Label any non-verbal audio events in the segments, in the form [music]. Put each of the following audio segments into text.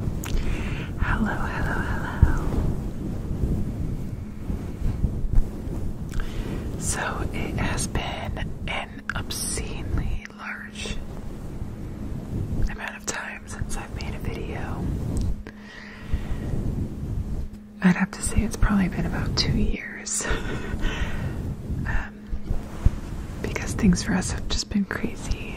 Hello, hello, hello. So it has been an obscenely large amount of time since i made a video. I'd have to say it's probably been about two years. [laughs] Um, because things for us have just been crazy.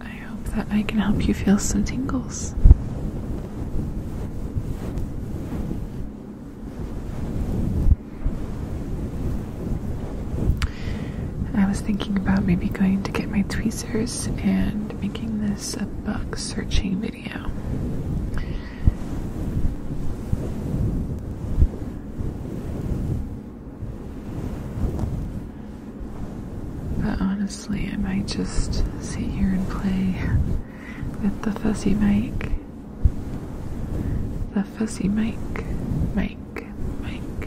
I hope that I can help you feel some tingles. I was thinking about maybe going to get my tweezers and making this a bug searching video. But honestly, I might just sit here and play with the fuzzy Mike. The fuzzy Mike. Mike. Mike.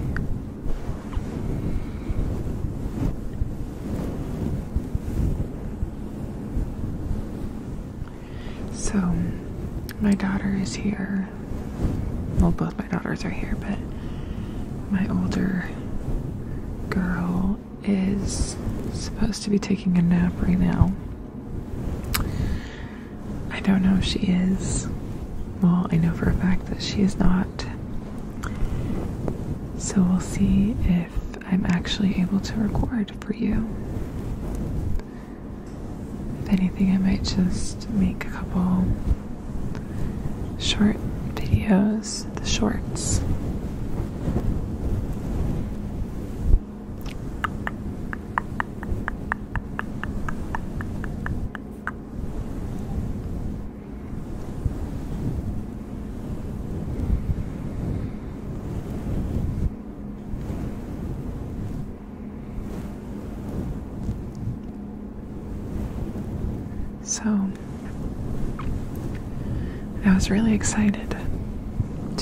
So, my daughter is here. Well, both my daughters are here, but my older girl is supposed to be taking a nap right now. I don't know if she is. Well, I know for a fact that she is not. So we'll see if I'm actually able to record for you. If anything, I might just make a couple short videos, the shorts. So, I was really excited.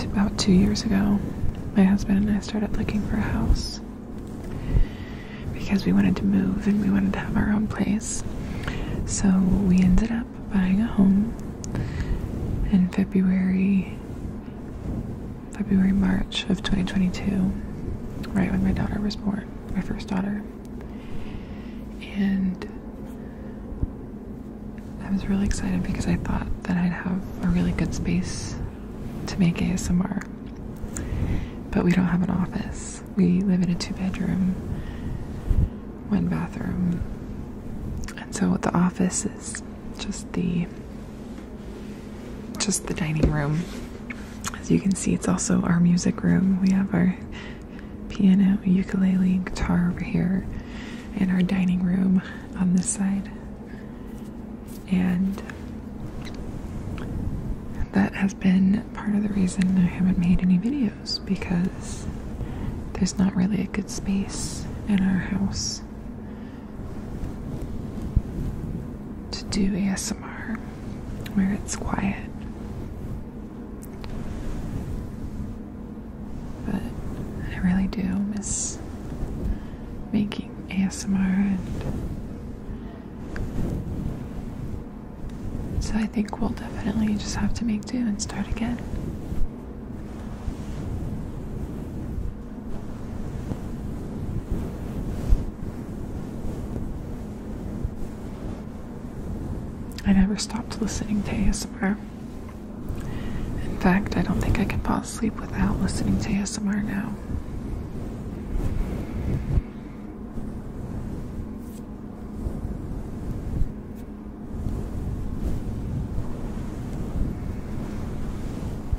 About two years ago, my husband and I started looking for a house because we wanted to move and we wanted to have our own place. So, we ended up buying a home in February February, March of 2022, right when my daughter was born, my first daughter. And I was really excited because I thought that I'd have a really good space to make ASMR. But we don't have an office. We live in a two bedroom, one bathroom. And so the office is just the just the dining room. As you can see, it's also our music room. We have our piano, ukulele, guitar over here, in our dining room on this side. And that has been part of the reason I haven't made any videos because there's not really a good space in our house to do ASMR where it's quiet. But I really do miss making ASMR and so I think we'll definitely just have to make do and start again. I never stopped listening to ASMR. In fact, I don't think I can fall asleep without listening to ASMR now.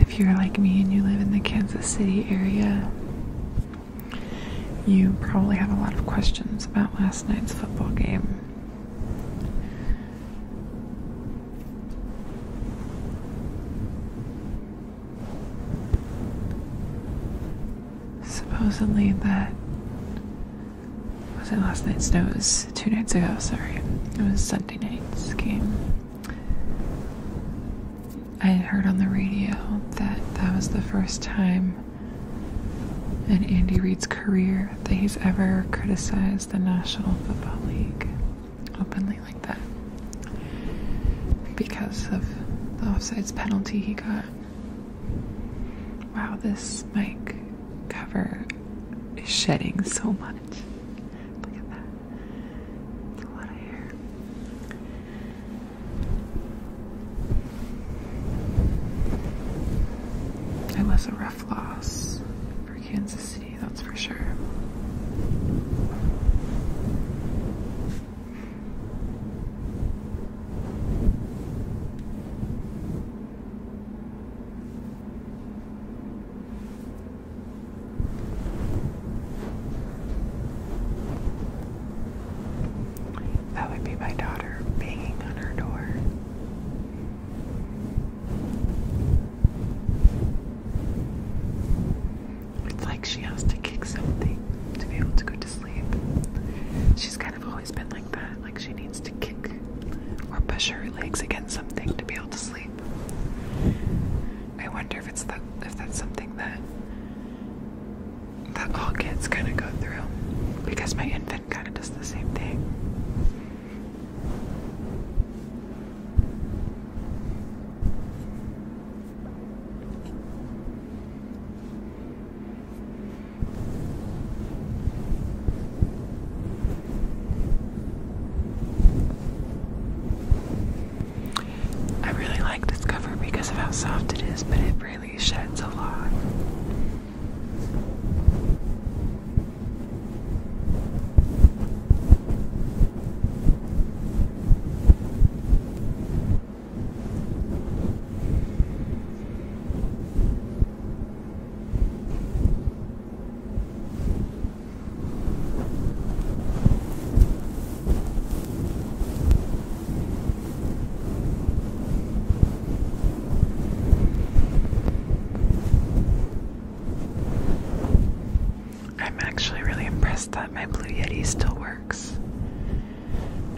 If you're like me and you live in the Kansas City area, you probably have a lot of questions about last night's football game supposedly that was it last night's? No, two nights ago. Sorry, it was Sunday night's game. I had heard on the radio that that was the first time in Andy Reid's career that he's ever criticized the National Football League openly like that because of the offsides penalty he got. Wow, this mic cover is shedding so much. Look at that. a lot of hair. It was a rough loss for Kansas City, that's for sure. That would be my daughter banging on her door. It's like she has to kick something to be able to go to sleep. She's kind of always been like that. Like she needs to kick or push her legs against something to be able to sleep. I wonder if it's the if that's something that that all kids kind of go through because my infant kind of does the same thing. I really like this cover because of how soft it is, but it really sheds a lot. I'm actually really impressed that my Blue Yeti still works.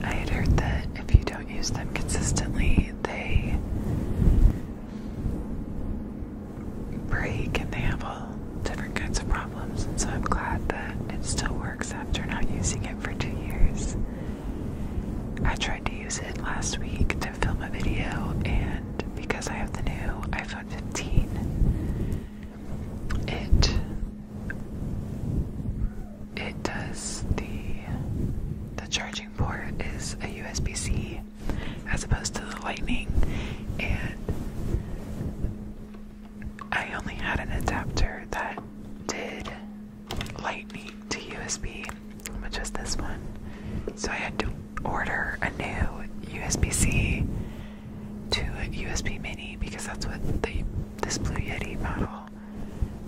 I had heard that if you don't use them consistently, they break and they have all different kinds of problems. And so I'm glad that it still works after not using it for two years. I tried to use it last week to film a video, and because I have the new iPhone 15, it it does the the charging port is a USB-C as opposed to the lightning and I only had an adapter that did lightning to USB which just this one so I had to order a new USB-C to USB mini because that's what the this Blue Yeti model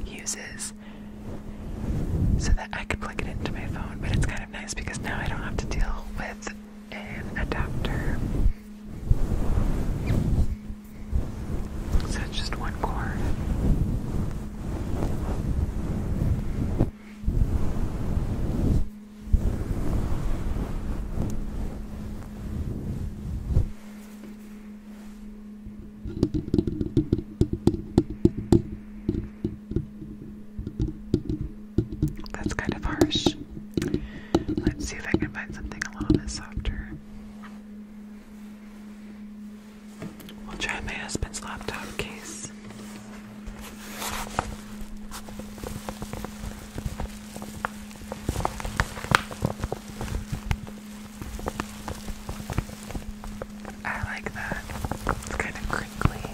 uses so that I can plug it into my phone. But it's kind of nice because now I don't have to deal with an adapter. So it's just one cord. That's kind of harsh. Let's see if I can find something a little bit softer. We'll try my husband's laptop case. I like that. It's kind of crinkly.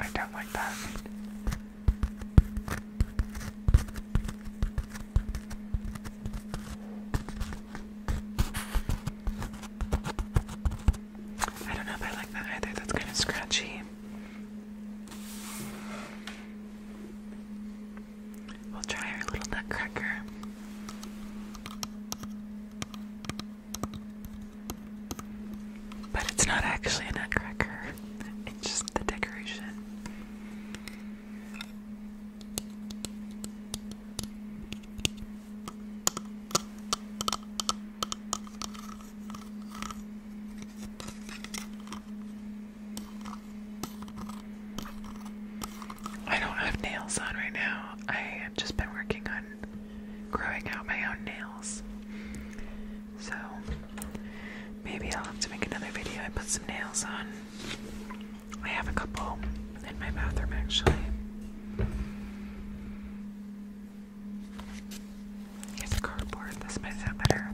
I don't like that. I don't know if I like that either. That's kind of scratchy. We'll try our little nutcracker. But it's not actually a nutcracker, it's just the decoration. I don't have nails on right now. I have just been working on growing out my own nails. So maybe I'll have to make another video and put some nails on. I have a couple in my bathroom actually. It's cardboard. This might sound better.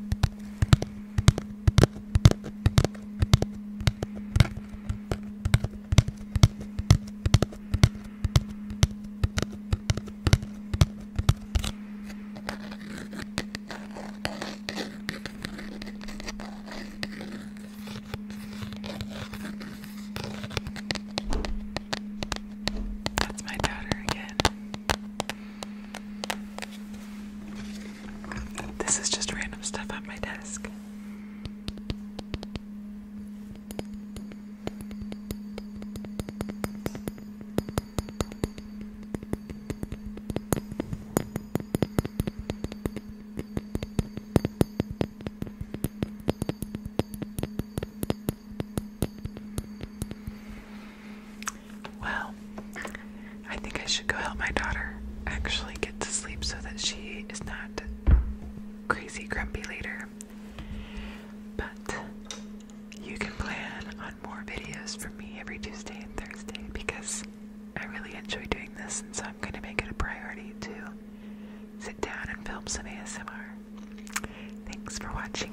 That's my daughter again. This is just random stuff on my desk. Well, I think I should go help my daughter actually get to sleep so that she is not crazy grumpy later. But you can plan on more videos from me every Tuesday and Thursday because I really enjoy doing this, and so I'm going to make it a priority to sit down and film some ASMR. Thanks for watching.